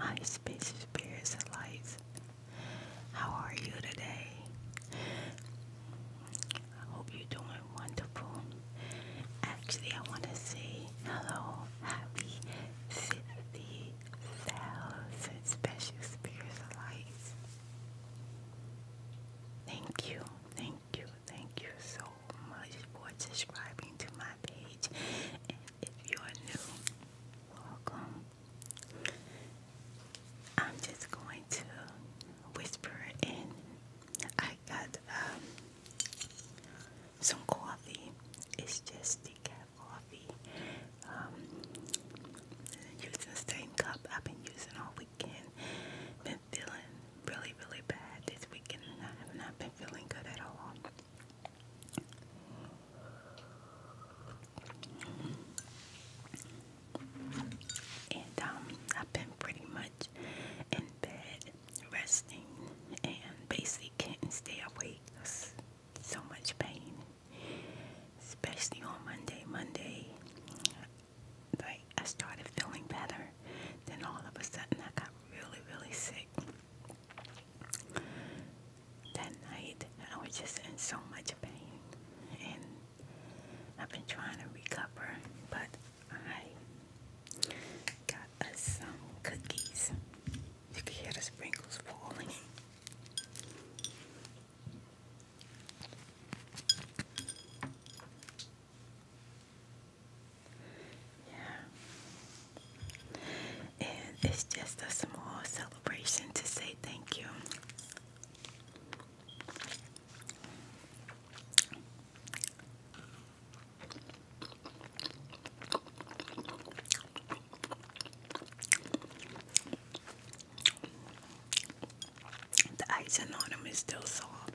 Hi, spacious spirits and lights. How are you today? I hope you're doing wonderful. Actually, I want to say hello, happy 50 cells Thank you, thank you, thank you so much for subscribing to my page. And if you're new, welcome. I'm just going to whisper in. I got um, some coffee. It's just decaf coffee. Um, using the same cup I've been using all weekend. Been feeling really, really bad this weekend, and I have not been feeling good at all. And um, I've been pretty much in bed, resting, and basically can't stay awake so much pain, especially on Monday. Monday, like I started feeling better, then all of a sudden I got really, really sick. That night and I was just in so much pain, and I've been trying to recover, but I got some cookies. You can hear the sprinkles falling. Yeah. And it's just a small celebration to say thank you. The ice on them is still soft.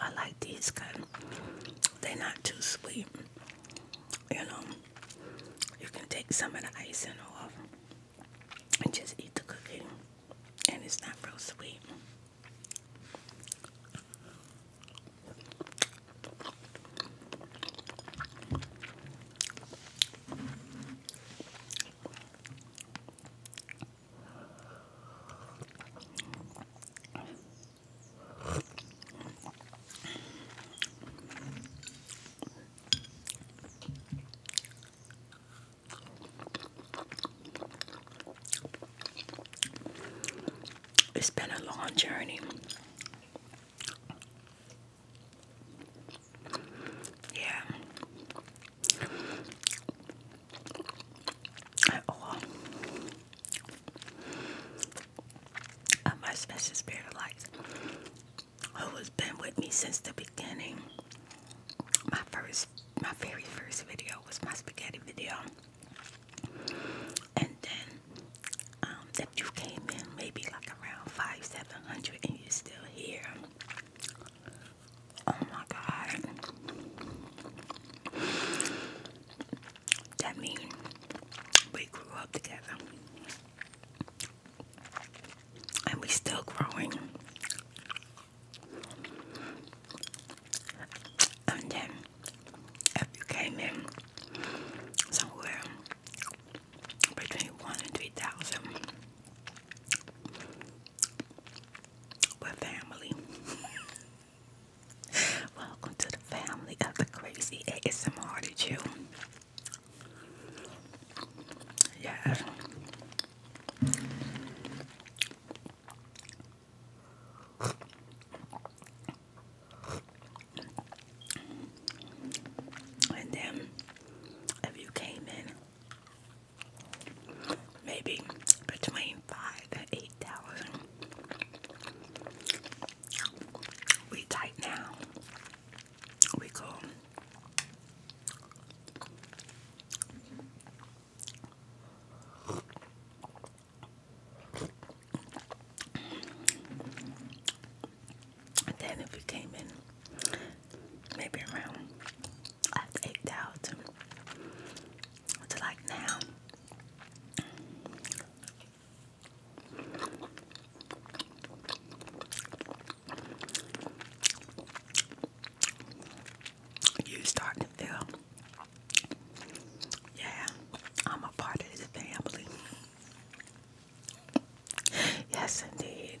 I like these because they're not too sweet, you know. You can take some of the icing off and just eat the cookie, and it's not real sweet. It's been a long journey. Yeah. Oh, my special spirit of who has been with me since the beginning. My first, my very first video was my spaghetti video. And then, um, if you came in maybe like around five, seven hundred and you're still here, oh my God. That means we grew up together. And we still growing. And then if you came in somewhere between one and three thousand with family Welcome to the family of the crazy ASMR did you? Yeah. And then if you came in maybe between five and eight thousand we tight now. We cool. then if we came in maybe around after 8,000 to like now you starting to feel, yeah, I'm a part of this family. Yes, indeed.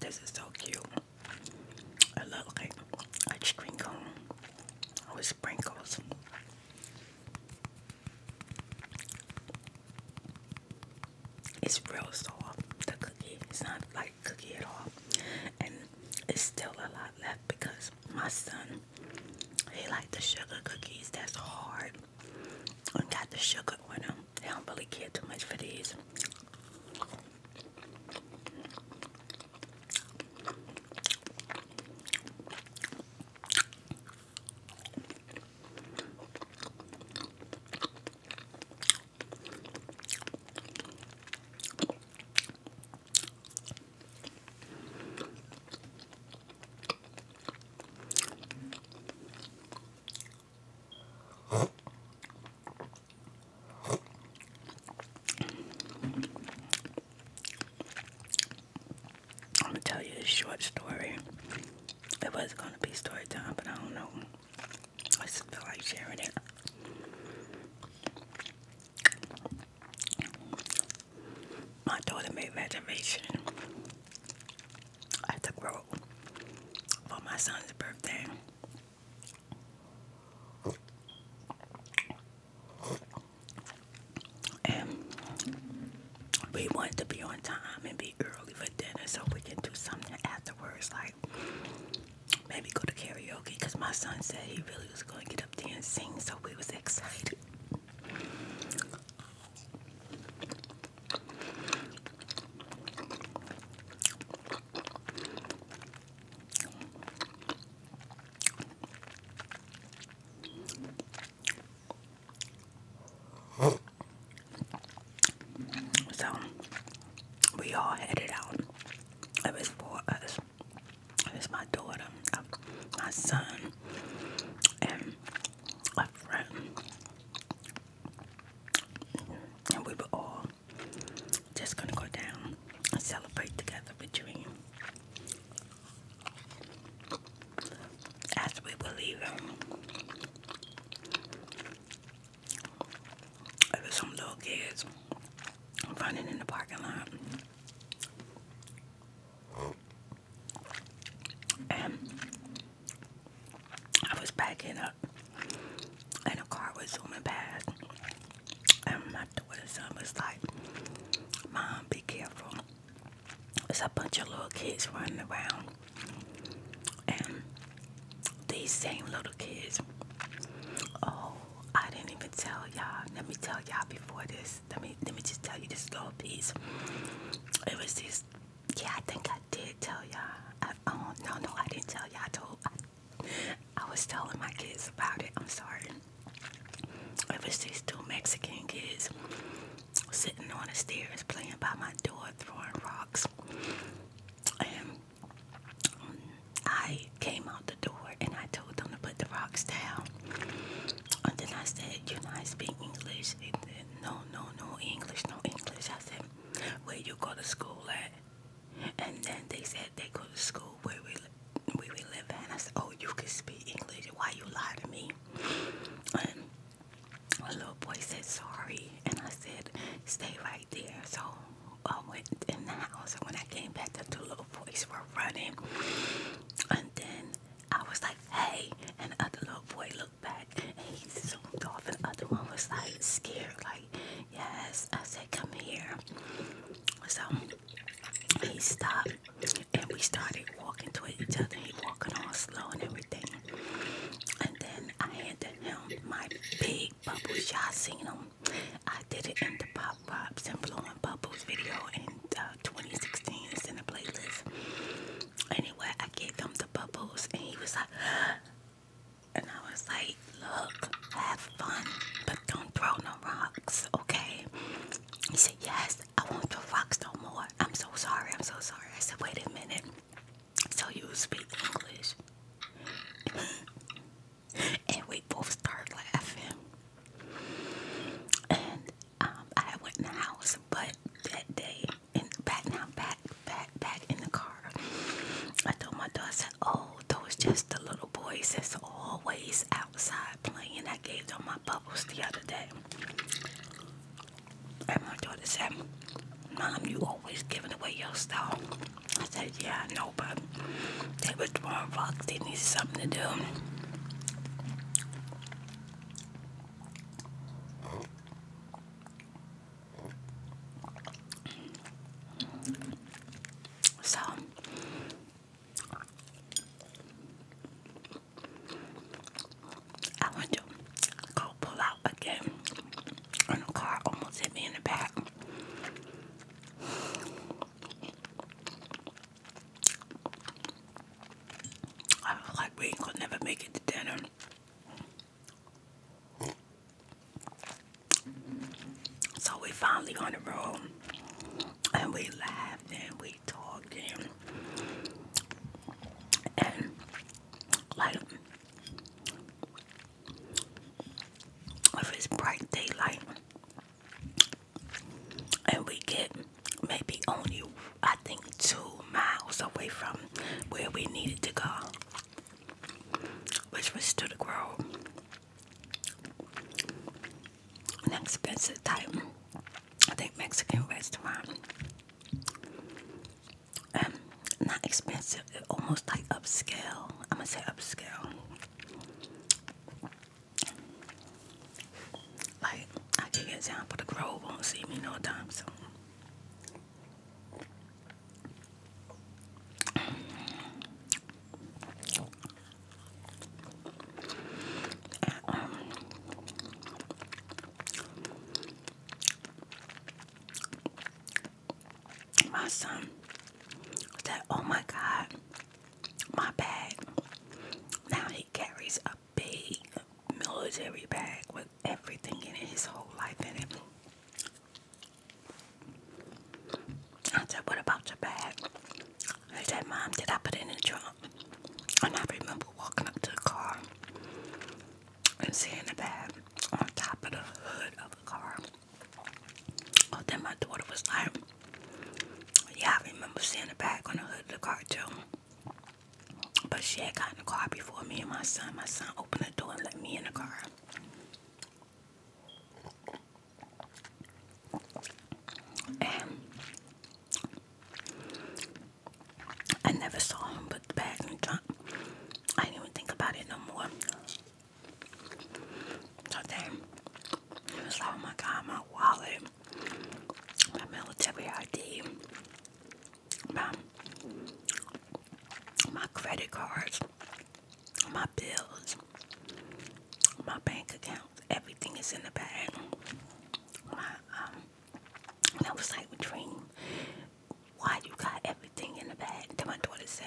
This is so cute. I look like a cream cone with sprinkles. It's real soft. The cookie. It's not like like cookie at all. And it's still a lot left because my son, he likes the sugar cookies that's hard I got the sugar on them. don't really care too much for these. I'm gonna tell you a short story. It was gonna be story time, but I don't know. I just feel like sharing it. My daughter made reservation at the Grove for my son's birthday. And we wanted to be on time and be early for dinner so we can do something afterwards, like maybe go to karaoke because my son said he really was going to get up there so we was excited. So we all headed out it was for us. It was my daughter, um, my son, and a friend. And we were all just gonna go down and celebrate together with Dream. As we were it was some little kids running in the parking lot. And I was backing up, and a car was zooming past. And my son was like, Mom, be careful. There's a bunch of little kids running around. And these same little kids. Oh, I didn't even tell y'all. Let me tell y'all before this. Let me let me just tell you this little piece. It was this. Yeah, I think I did tell y'all. Oh no, no, I didn't tell y'all. I told. I, I was telling my kids about it. I'm sorry. It was these two Mexican kids sitting on the stairs playing by my door, throwing rocks, and I came out the door and I told them to put the rocks down. And then I said, You know, I speak English. no, no, no English, no English. I said, Where you go to school at? And then they said they go to school where we, we live And I said, Oh, you can speak English. Why you lie to me? And a little boy said, Sorry. And I said, Stay right there. So I went in the house, and when I came back, the two little boys were running. And then I was like, hey. And the other little boy looked back and he zoomed off. And the other one was like scared, like, yes. I said, come here. So he stopped and we started walking toward each other. He walking all slow and everything. And then I handed him my big bubbles. Y'all seen them. I did it in the Pop Pops and Blowing Bubbles video in uh, 2016. It's in the playlist. Anyway, I gave him the bubbles and he was like, and I was like, look, have fun, but don't throw no rocks, okay? He said, yes, I want the rocks no more. I'm so sorry, I'm so sorry. I said, wait a minute. So you speak English? and we both start laughing. And um, I went in the house, but that day, in back now, back, back, back in the car, I told my daughter, I said, "Oh, those just the little boys that's always outside playing." I gave them my bubbles the other day, and my daughter said, "Mom, you always giving away your stuff." I said, yeah, I know, but they was born Fox. They need something to do. So, I went to go pull out again, and the car almost hit me in the back. I feel like we could never make it to dinner. So we finally on the road and we laughed and we talked and, and like if it's bright daylight and we get maybe only I think two miles away from where we needed to go which was to the grove an expensive type I think Mexican restaurant um, not expensive, almost like upscale. I'm gonna say upscale. Like I give you an example, the Grove won't see me no time soon my son said, Oh my God, my bag. Now he carries a big military bag with everything in it, his whole life in it. I said, What about your bag? He said, Mom, did I put it in the trunk? And I remember walking up to the car and seeing the bag on top of the hood of the car. Oh, then my daughter was like, yeah, I remember seeing it back on the hood of the car too. But she had gotten the car before me and my son. My son opened the door and let me in the car. And I never saw him put the bag in the trunk. I didn't even think about it no more. So then, was like, oh my god, my wallet, my military ID, my, my credit cards, my bills, my bank account, everything is in the bag. My, um, and was like, Dream, why you got everything in a bag. Then my daughter said,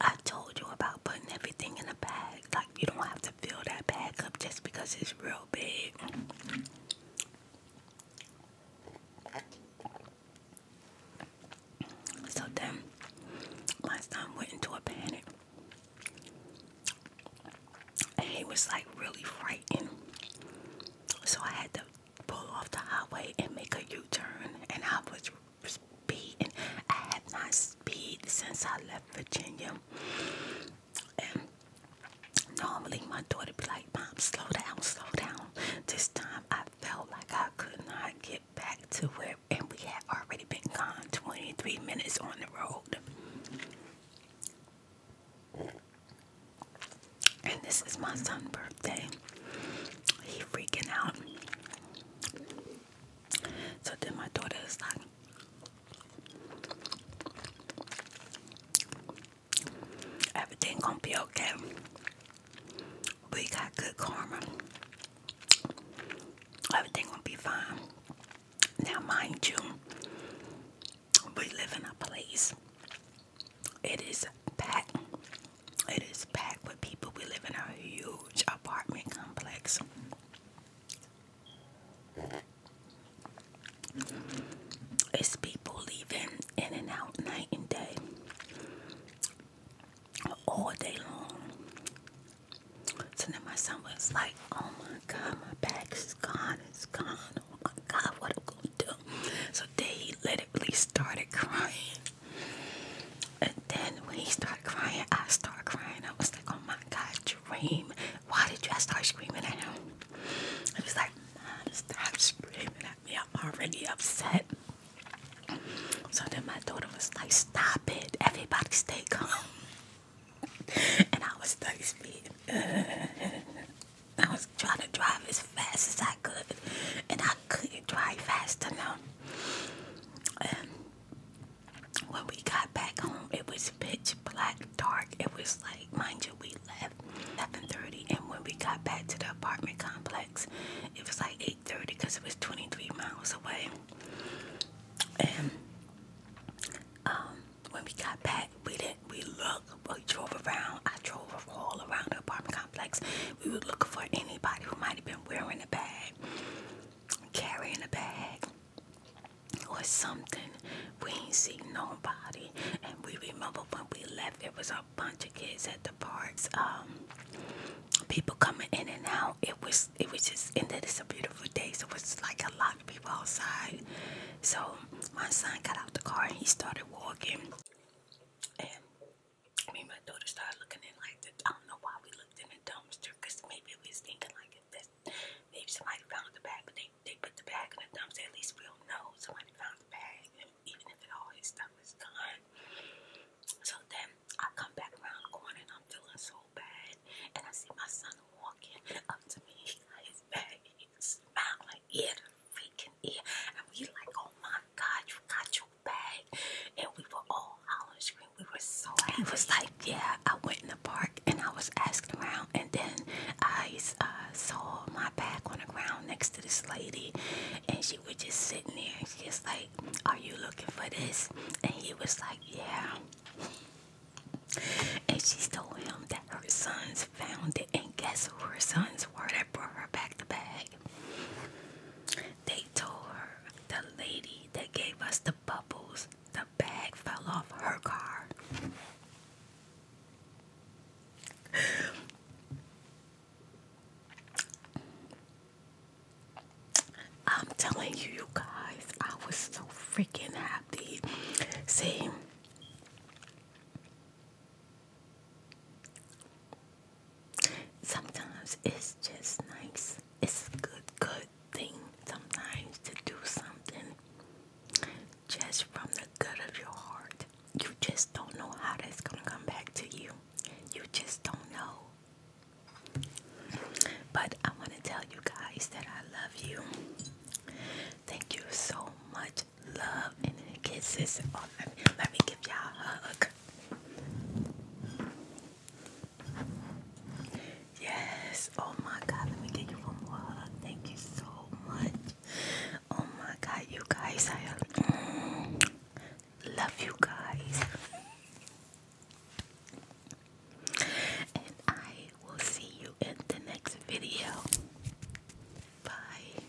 I told you about putting everything in a bag. Like, you don't have to fill that bag up just because it's real big. So then my son went into a panic. he was like really frightened. So I had to pull off the highway and make a U turn. And I was speeding. I have not speed since I left Virginia. And normally my daughter be like, Mom, slow down, slow down. This time I felt like I could not get back to where and we had already been gone 23 minutes on the road. And this is my son's birthday. He freaking out. So then my daughter is like, everything gonna be okay. We got good karma. Everything gonna be fine. Now mind you, we live in a place it is packed. It is packed with people. We live in a huge apartment complex. It's people leaving in and out night and day, all day long. So then my son was like, "Oh my God, my bag is gone. It's gone. Oh my God, what am I gonna do?" So then he literally started crying. And then when he started crying, I started crying. I was like, oh my God, Dream, why did you I start screaming at him? He was like, Mom, stop screaming at me. I'm already upset. So then my daughter was like, stop it. Everybody stay calm. and I was 30 speed. I was trying to drive as fast as I and I couldn't drive fast enough. And um, when we got back home, it was pitch black, dark. It was like, mind you, we left 7:30, and when we got back to the apartment complex, it was like 8:30 because it was 23 miles away. And um, when we got back, we didn't. We looked. We drove around. I drove all around the apartment complex we were looking for anybody who might have been wearing a bag, carrying a bag, or something. We ain't seen nobody. And we remember when we left, it was a bunch of kids at the parks. Um, people coming in and out. It was it was just and that it's a beautiful day, so it was like a lot of people outside. So my son got out the car and he started walking me and my daughter started looking in like this. I don't know why we looked in the dumpster because maybe we was thinking like if this, maybe somebody found the bag, but they, they put the bag in the dumpster. At least we'll know somebody found the bag, and even if all his stuff is gone. So then I come back around the corner and I'm feeling so bad, and I see my son walking up to me. He got his bag, and he's smiling ear to freaking ear, and we like, oh my god, you got your you And we were all hollering, screaming. We were so He was like, yeah, I went in the park and I was asking around. And then I uh, saw my bag on the ground next to this lady. And she was just sitting there. She's she like, are you looking for this? And he was like, yeah. And she told him that her sons found it. And guess who her sons were that brought her back the bag? They told her the lady that gave us the bubbles, the bag fell off her car. I'm telling you, you guys, I was so freaking happy. See, sometimes it's just nice. It's a good, good thing sometimes to do something just from the good of your heart. You just don't know how that's gonna come back to you. You just don't know. But I want to tell you guys that I love you. Thank you so much. Love and kisses. Oh, let me give y'all a hug. Yes. Oh my God. Let me give you one more Thank you so much. Oh my God, you guys. I mm, love you guys. And I will see you in the next video. Bye.